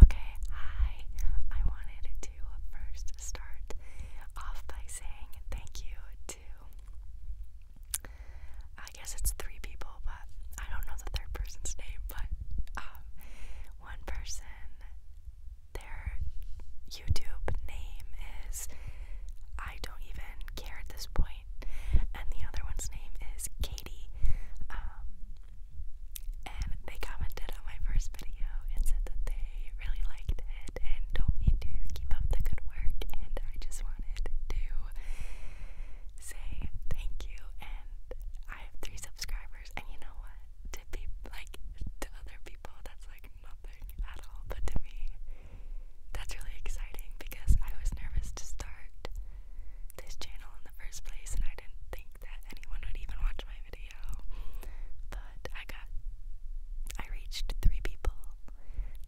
Okay, hi. I wanted to first start off by saying thank you to, I guess it's three people, but I don't know the third person's name, but um, one person, their YouTube name is, I don't even care at this point, and the other one's name is Katie. Um, and they commented on my first video and said that they really liked it and told me to keep up the good work and I just wanted to say thank you and I have three subscribers and you know what? To be like to other people that's like nothing at all but to me that's really exciting because I was nervous to start this channel in the first place and I didn't think that anyone would even watch my video, but I got, I reached three people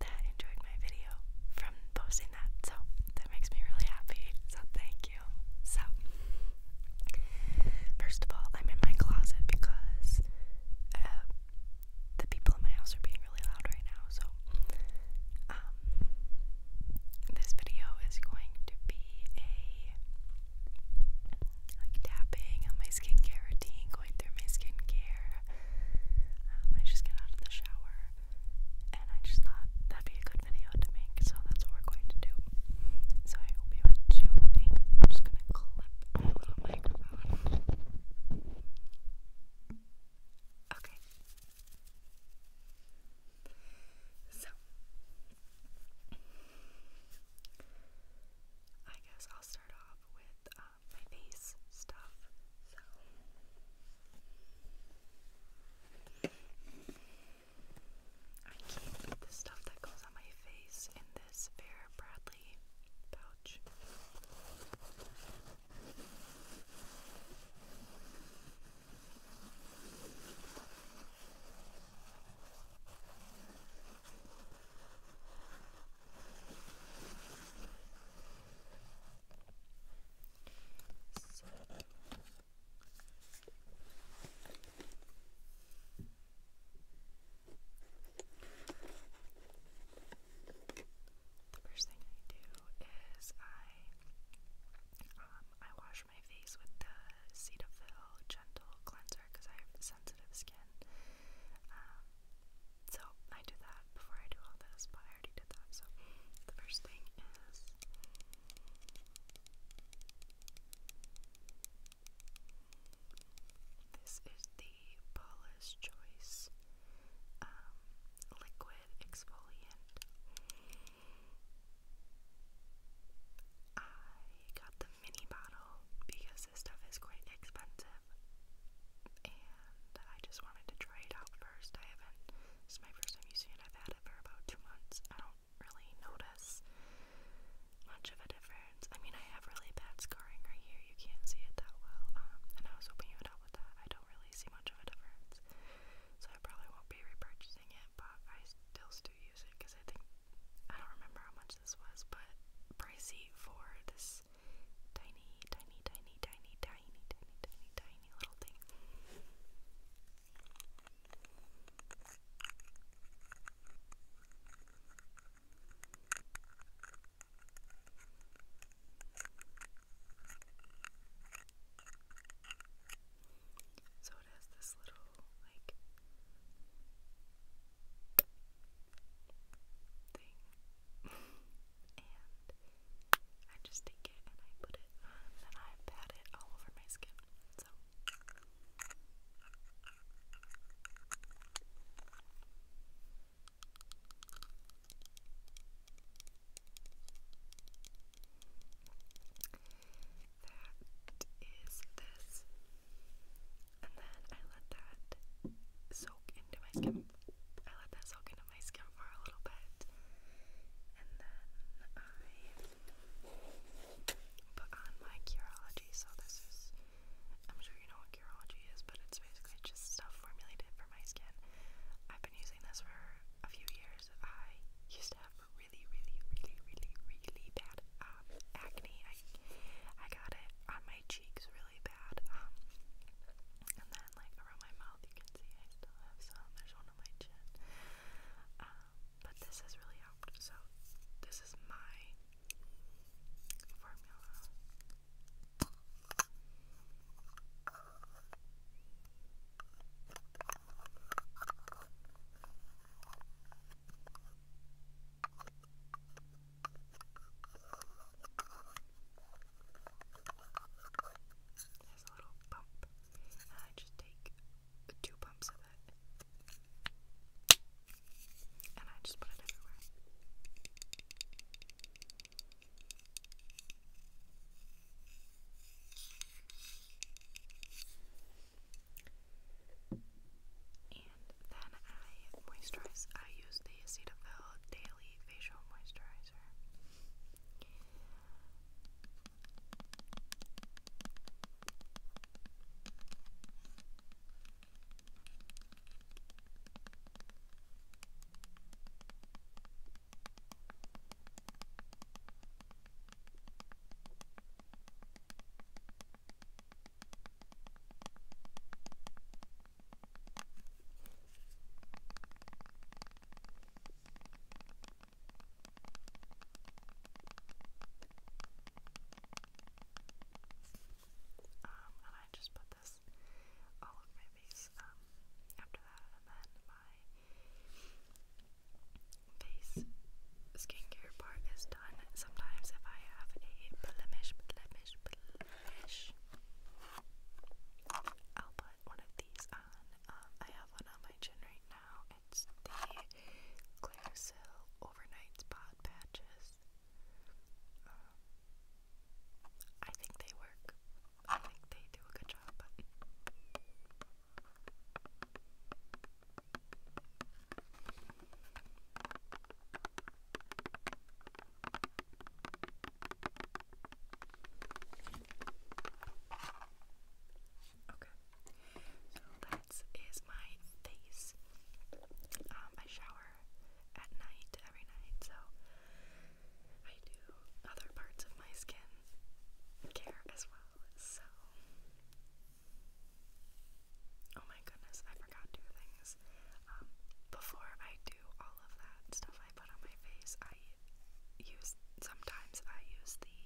that enjoyed my video from posting that, so that makes me really happy. So thank you. So, first of all, I'm in my closet because um, the people in my house are being really loud right now, so um, this video is going to be a like tapping on my skincare routine, going through my skincare. Um, I just got out of the shower and I just thought that'd be a good video to make, so that's what we're going to do. So I hope you enjoy. I'm just gonna clip my little microphone. Okay, so, I guess I'll start off with um, my face stuff. So, I keep the stuff that goes on my face in this Vera Bradley pouch. So. The first thing I do is I um I wash wash my face with the Cetaphil Gentle Cleanser because I have sensitive skin. Um, so I do that before I do all this, but I already did that. So the first thing is. This is the Paula's Choice um, Liquid Exfoliant. I got the mini bottle because this stuff is quite expensive and I just wanted to try it out first. I haven't, this is my first time using it, I've had it for about two months. I don't really notice much of a difference. I mean, I have really bad scarring right here, you can't see it that well. Um, and I was hoping you would help with that. I don't really see much of a difference, so I probably won't be repurchasing using it, but I still still use it because I think I don't remember how much this was, but pricey for this tiny, tiny, tiny, tiny, tiny, tiny, tiny, tiny little thing. So it has this little, like, thing. and I just take it and I put it and I pat it all over my skin. So. That is this. And then I let that soak into my skin. I let that soak into my skin for a little bit. And then I put on my Curology. So this is, I'm sure you know what Curology is, but it's basically just stuff formulated for my skin. I've been using this for a few years I used to have really, really, really, really, really bad um, acne. I I got it on my cheeks really bad, um, and then like around my mouth, you can see I still have some. There's one on my chin, um, but this has really helped. So this is my formula. There's a little pump, and I just take two pumps of it, and I just put it everywhere. And then I moisturize. I use the Cetaphil Daily Facial Moisturizer. Um, and I just put this all over my face um after that, and then my face skincare part is done. Sometimes if I have a blemish, blemish, blemish, I'll put one of these on. Um, I have one on my chin right now. It's the Clearasil Overnight Spot Patches. Um, I think they work. I think they do a good job. Okay, so that is my face. I um, shower at night every night, so I do other parts of my skin care as well, so. Oh my goodness, I forgot two things. Um, before I do all of that stuff I put on my face, I use sometimes I use the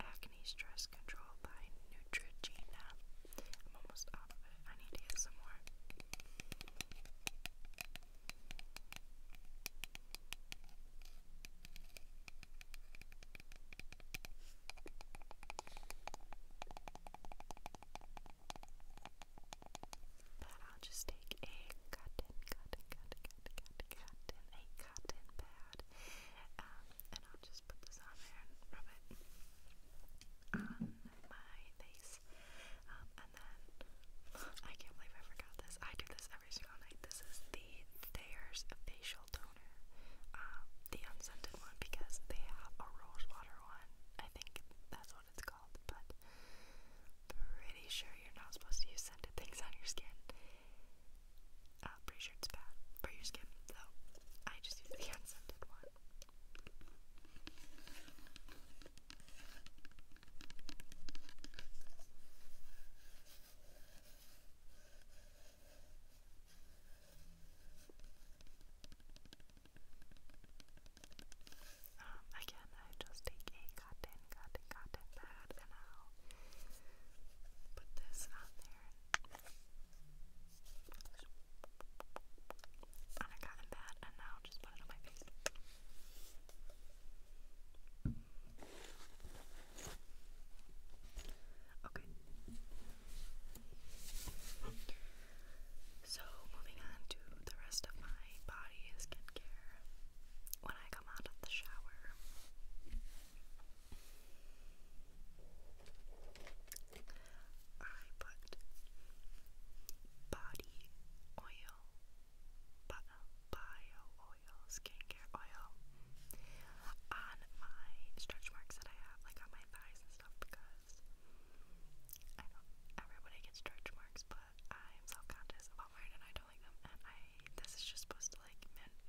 acne stress control by Neutrogena. I'm almost out of it. I need to get some more. But I'll just take a cotton, cotton, cotton, cotton, cotton, a cotton pad, um, and I'll just put this on there and rub it on my face. Um, and then, I can't believe I forgot this. I do this every single night. This is the Thayer's Facial Toner, um, the unscented one, because they have a rose water one. I think that's what it's called, but pretty sure you're not supposed to use scented things on your skin. Uh, pretty sure it's bad for your skin, Though I just use the unscented one. Um, again, I just take a cotton, cotton, cotton pad and I'll put this on there. On a cotton pad, and now I'll Okay. So, moving on to the rest of my body skincare. When I come out of the shower, I put body oil oil, bio, oil, skincare oil on my stretch marks that I have, like on my thighs and stuff, because I know everybody gets stretch marks, but I'm self-conscious about wearing and I don't like them, and this is just supposed to like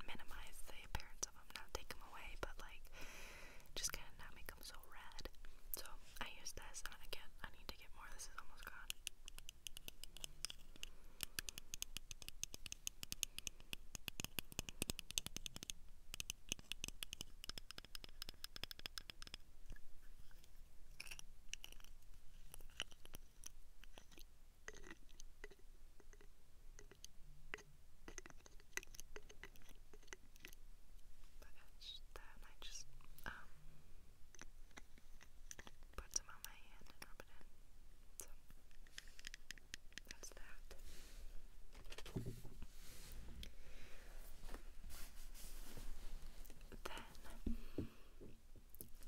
minimize the appearance of them, not take them away, but like, just kind of not make become so red. So I use this, and again, I need to get more. This is almost gone. But it's I just um put on my hand and rub it in. that's that. Then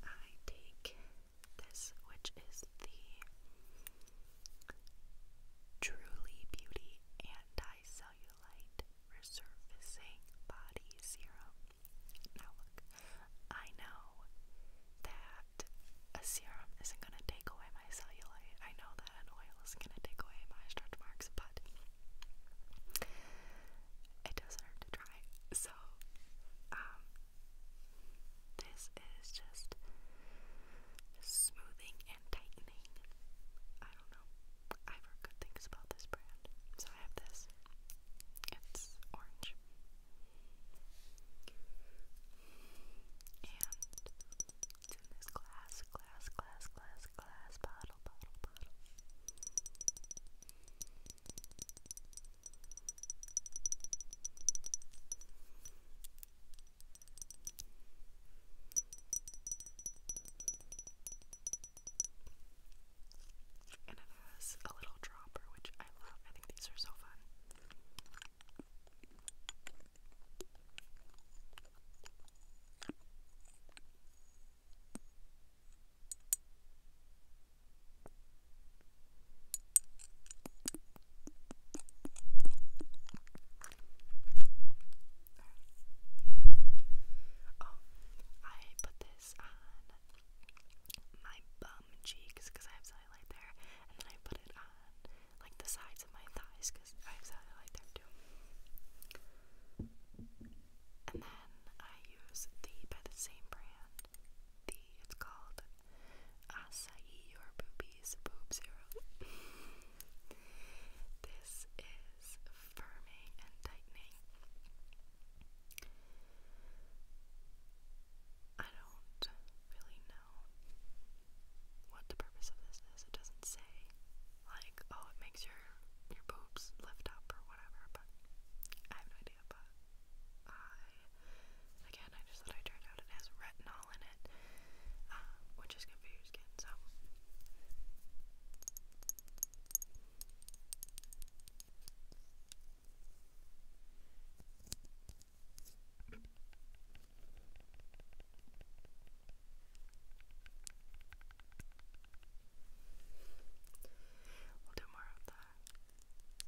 I take this, which is the Truly Beauty Anti cellulite resurfacing body serum. Now, look, I know that a serum isn't going to take away my cellulite. I know that an oil is going to take away my stretch marks, but it doesn't hurt to try. So, um, this is just smoothing and tightening annoying. I don't know. I've heard good things about this brand. So I have this. It's orange. And it's in this glass, glass, glass, glass, glass bottle, bottle, bottle. And it has a little dropper, which I love. I think these are so fun. Oh, I put this on my bum cheeks because I have cellulite there, and then I put it on like the sides of my thighs because I have cellulite there too. And then I use the by the same brand. The it's called Acai or Boobies Boob Zero. This is firming and tightening. I don't really know what the purpose of this is. It doesn't say like, oh, it makes your your boobs lift up or whatever, but I have no idea, but I again I just thought I turned out it has retinol in it, um, which is good for your skin, so We'll do more of that. Yes.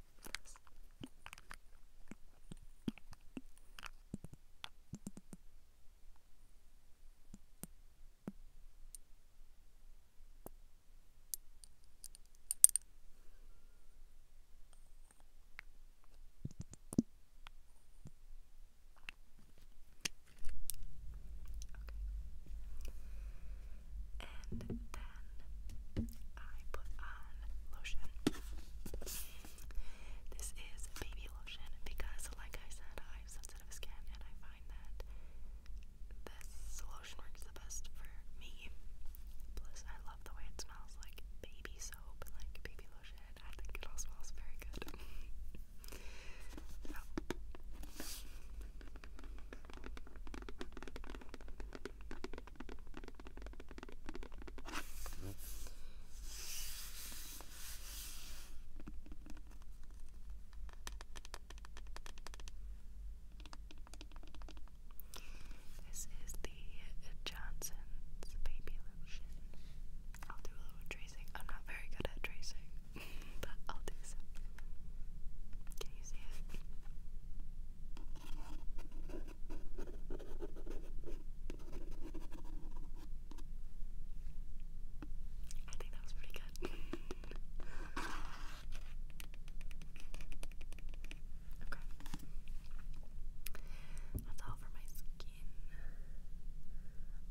And then I put on lotion. This is baby lotion because, like I said, I sensitive skin, and I find that this solution works the best for me. Plus, I love the way it smells like baby soap, like baby lotion. I think it all smells very good. This is the Johnson's Baby Lotion. I'll do a little tracing. I'm not very good at tracing, but I'll do some. Can you see it? I think that was pretty good. okay. That's all for my skin.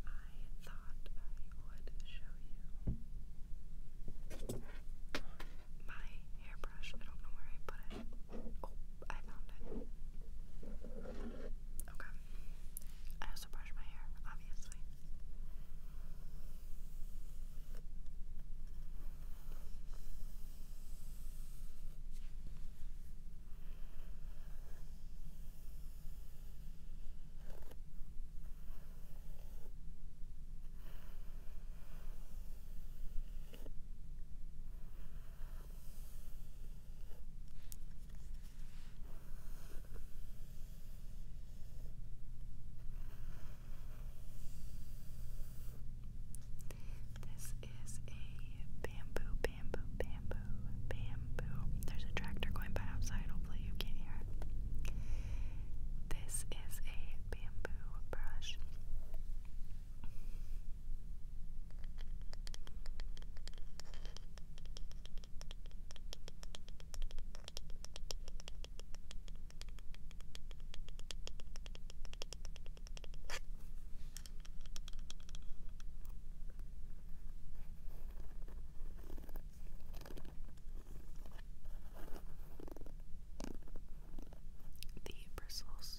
I thought I would show you my hairbrush. I don't know where I put it. Oh, I found it. Okay. I also brush my hair, obviously. This is a bamboo, bamboo, bamboo, bamboo. There's a tractor going by outside, hopefully, you can't hear it. This is a bamboo brush. The bristles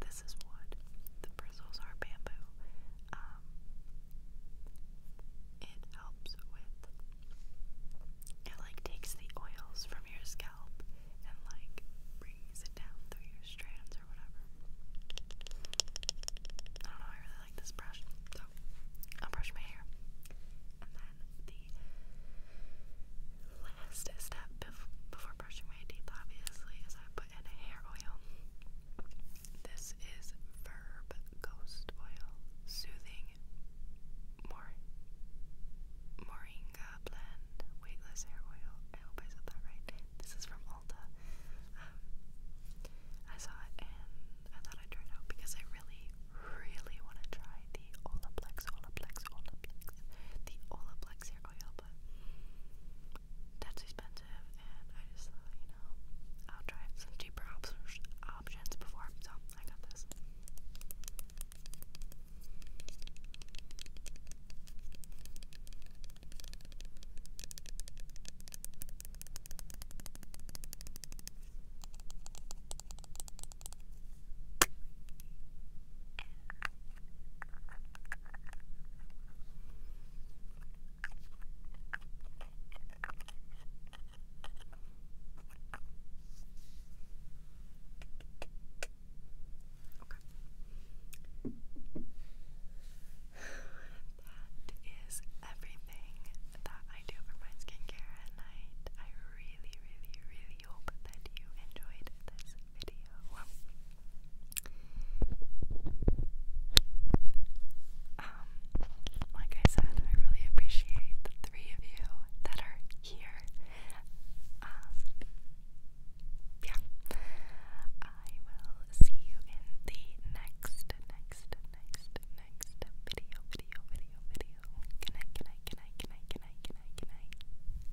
this is what The bristles are bamboo. Um, it helps with it like takes the oils from your scalp and like brings it down through your strands or whatever. I don't know, I really like this brush. So I'll brush my hair. And then the last step before brushing my teeth obviously is I and hair oil. This is Verb Ghost Oil Soothing Moringa Blend Weightless Hair Oil. I hope I said that right. This is from Ulta. Um, I saw it and I thought I'd try it because I really, really want to try the Olaplex, Olaplex, Olaplex, the Olaplex hair oil, but that's expensive, and I just thought, you know, I'll try some cheaper op options before, so I got this. That is everything that I do for my skincare at night. I really, really, really we hope that you enjoyed this video. Um, like I said, I really appreciate the three of you that are here. Um, yeah. I will see you in the next, next, next, next video, video, video, video. Good night, good night, good night, good night, good night, good night, good night.